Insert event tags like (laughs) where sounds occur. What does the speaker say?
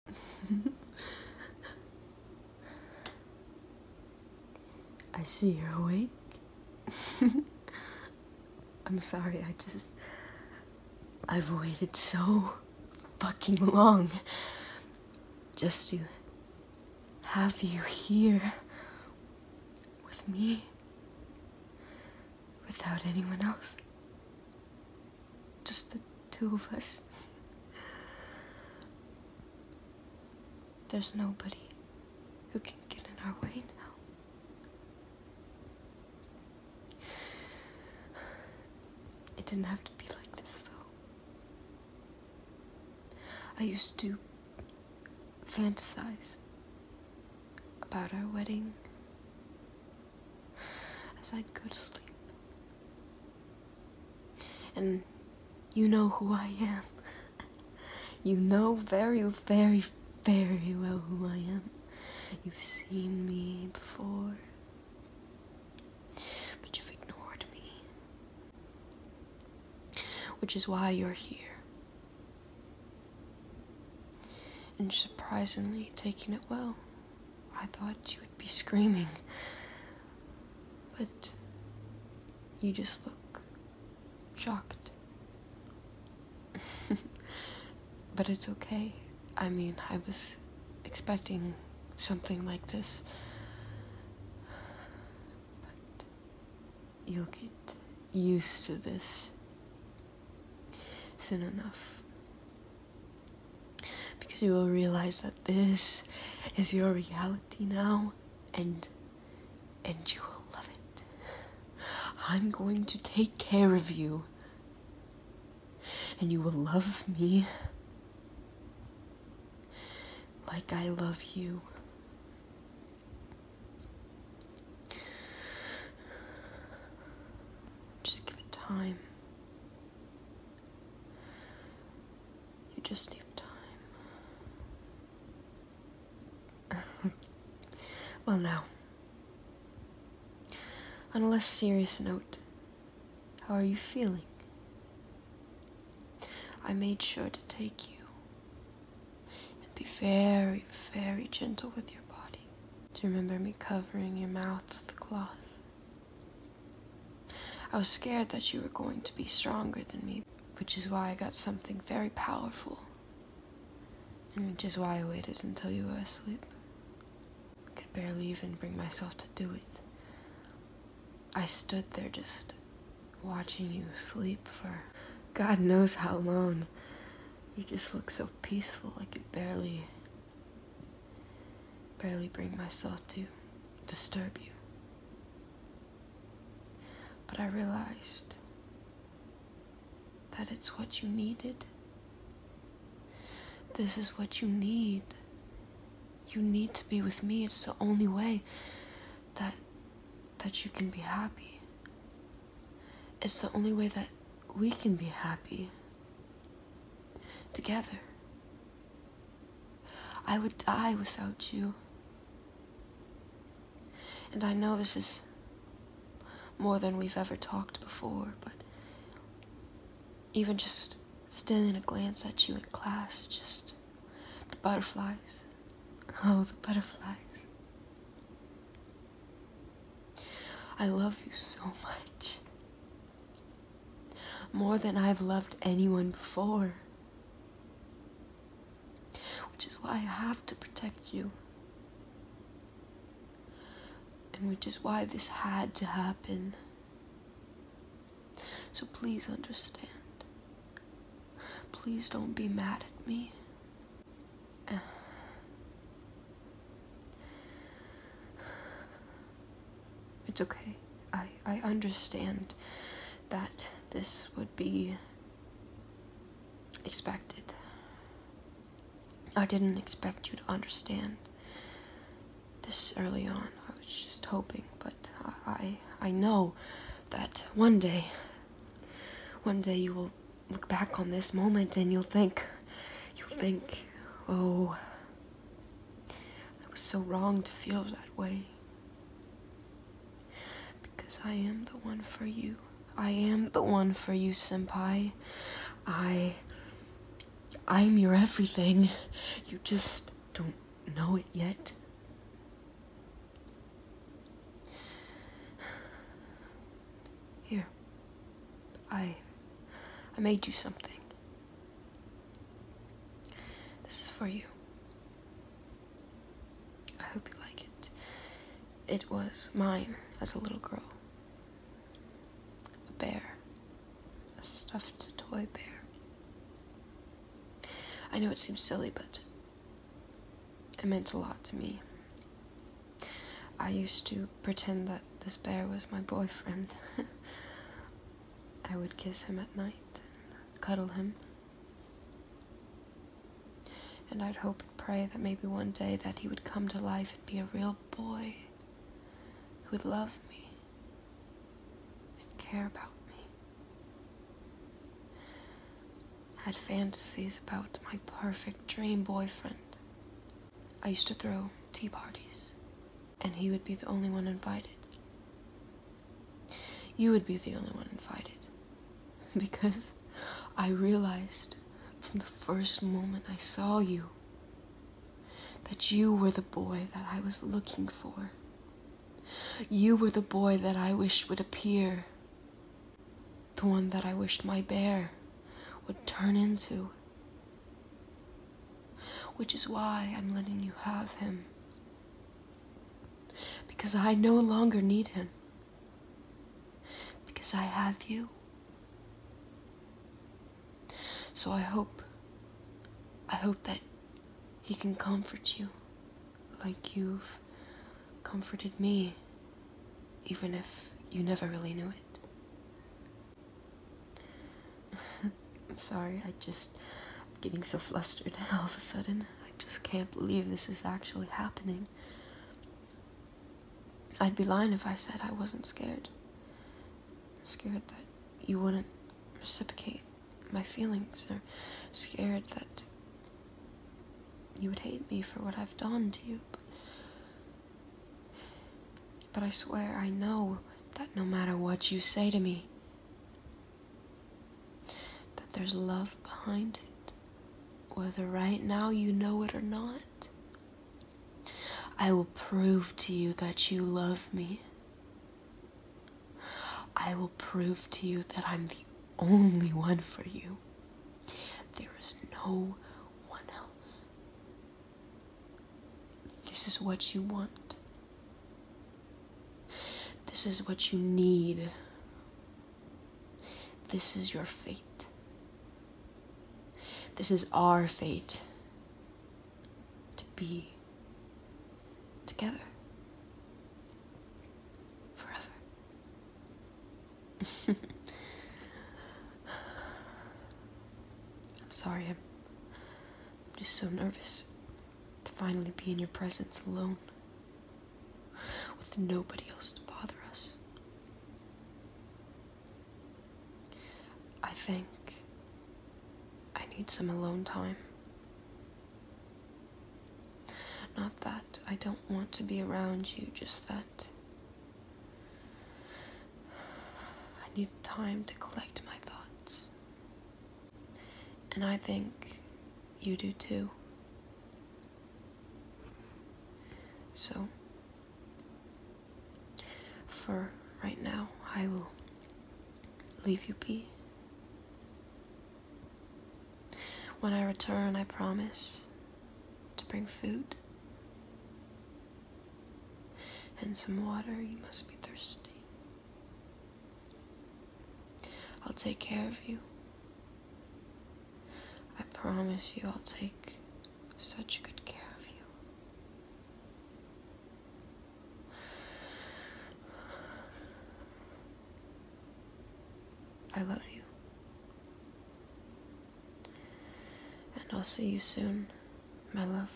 (laughs) I see you're awake. (laughs) I'm sorry, I just. I've waited so fucking long just to have you here with me without anyone else. Just the two of us. There's nobody who can get in our way now. It didn't have to be like this, though. I used to fantasize about our wedding (sighs) as I'd go to sleep. And you know who I am. (laughs) you know very, very, very well who I am. You've seen me before. But you've ignored me. Which is why you're here. And surprisingly, taking it well. I thought you would be screaming. But you just look shocked. (laughs) but it's okay. I mean, I was expecting something like this. But you'll get used to this soon enough. Because you will realize that this is your reality now and and you will love it. I'm going to take care of you. And you will love me like I love you. Just give it time. You just need time. (laughs) well, now, on a less serious note, how are you feeling? I made sure to take you and be very, very gentle with your body. Do you remember me covering your mouth with the cloth? I was scared that you were going to be stronger than me, which is why I got something very powerful. And which is why I waited until you were asleep. I could barely even bring myself to do it. I stood there just watching you sleep for God knows how long. You just look so peaceful, I could barely, barely bring myself to disturb you. But I realized that it's what you needed. This is what you need. You need to be with me. It's the only way that that you can be happy. It's the only way that we can be happy together. I would die without you. And I know this is more than we've ever talked before, but even just stealing a glance at you in class, just the butterflies. Oh, the butterflies. I love you so much. More than I've loved anyone before. Which is why I have to protect you. And which is why this had to happen. So please understand. Please don't be mad at me. It's okay. I, I understand that this would be expected. I didn't expect you to understand this early on. I was just hoping, but uh, I I know that one day one day you will look back on this moment and you'll think you'll think, "Oh, I was so wrong to feel that way." Because I am the one for you. I am the one for you, sempai. I I'm your everything. You just don't know it yet. Here. I I made you something. This is for you. I hope you like it. It was mine as a little girl. A bear a stuffed toy bear. I know it seems silly, but it meant a lot to me. I used to pretend that this bear was my boyfriend. (laughs) I would kiss him at night and cuddle him. And I'd hope and pray that maybe one day that he would come to life and be a real boy who would love me and care about me. I had fantasies about my perfect dream boyfriend. I used to throw tea parties, and he would be the only one invited. You would be the only one invited. (laughs) Because I realized from the first moment I saw you that you were the boy that I was looking for. You were the boy that I wished would appear, the one that I wished my bear would turn into. Which is why I'm letting you have him. Because I no longer need him. Because I have you. So I hope, I hope that he can comfort you like you've comforted me, even if you never really knew it. (laughs) I'm sorry, I just, I'm getting so flustered (laughs) all of a sudden. I just can't believe this is actually happening. I'd be lying if I said I wasn't scared. scared that you wouldn't reciprocate my feelings, or scared that you would hate me for what I've done to you. but I swear I know that no matter what you say to me, that there's love behind it, whether right now you know it or not. I will prove to you that you love me. I will prove to you that I'm the only one for you. There is no one else. This is what you want. This is what you need. This is your fate. This is our fate to be together forever. (laughs) I'm sorry, I'm just so nervous to finally be in your presence alone with nobody else to bother us. I think I need some alone time. Not that I don't want to be around you, just that I need time to collect my thoughts. And I think you do too. So, for right now, I will leave you be. When I return, I promise to bring food and some water. You must be thirsty. I'll take care of you I promise you I'll take such good care of you. I love you. And I'll see you soon, my love.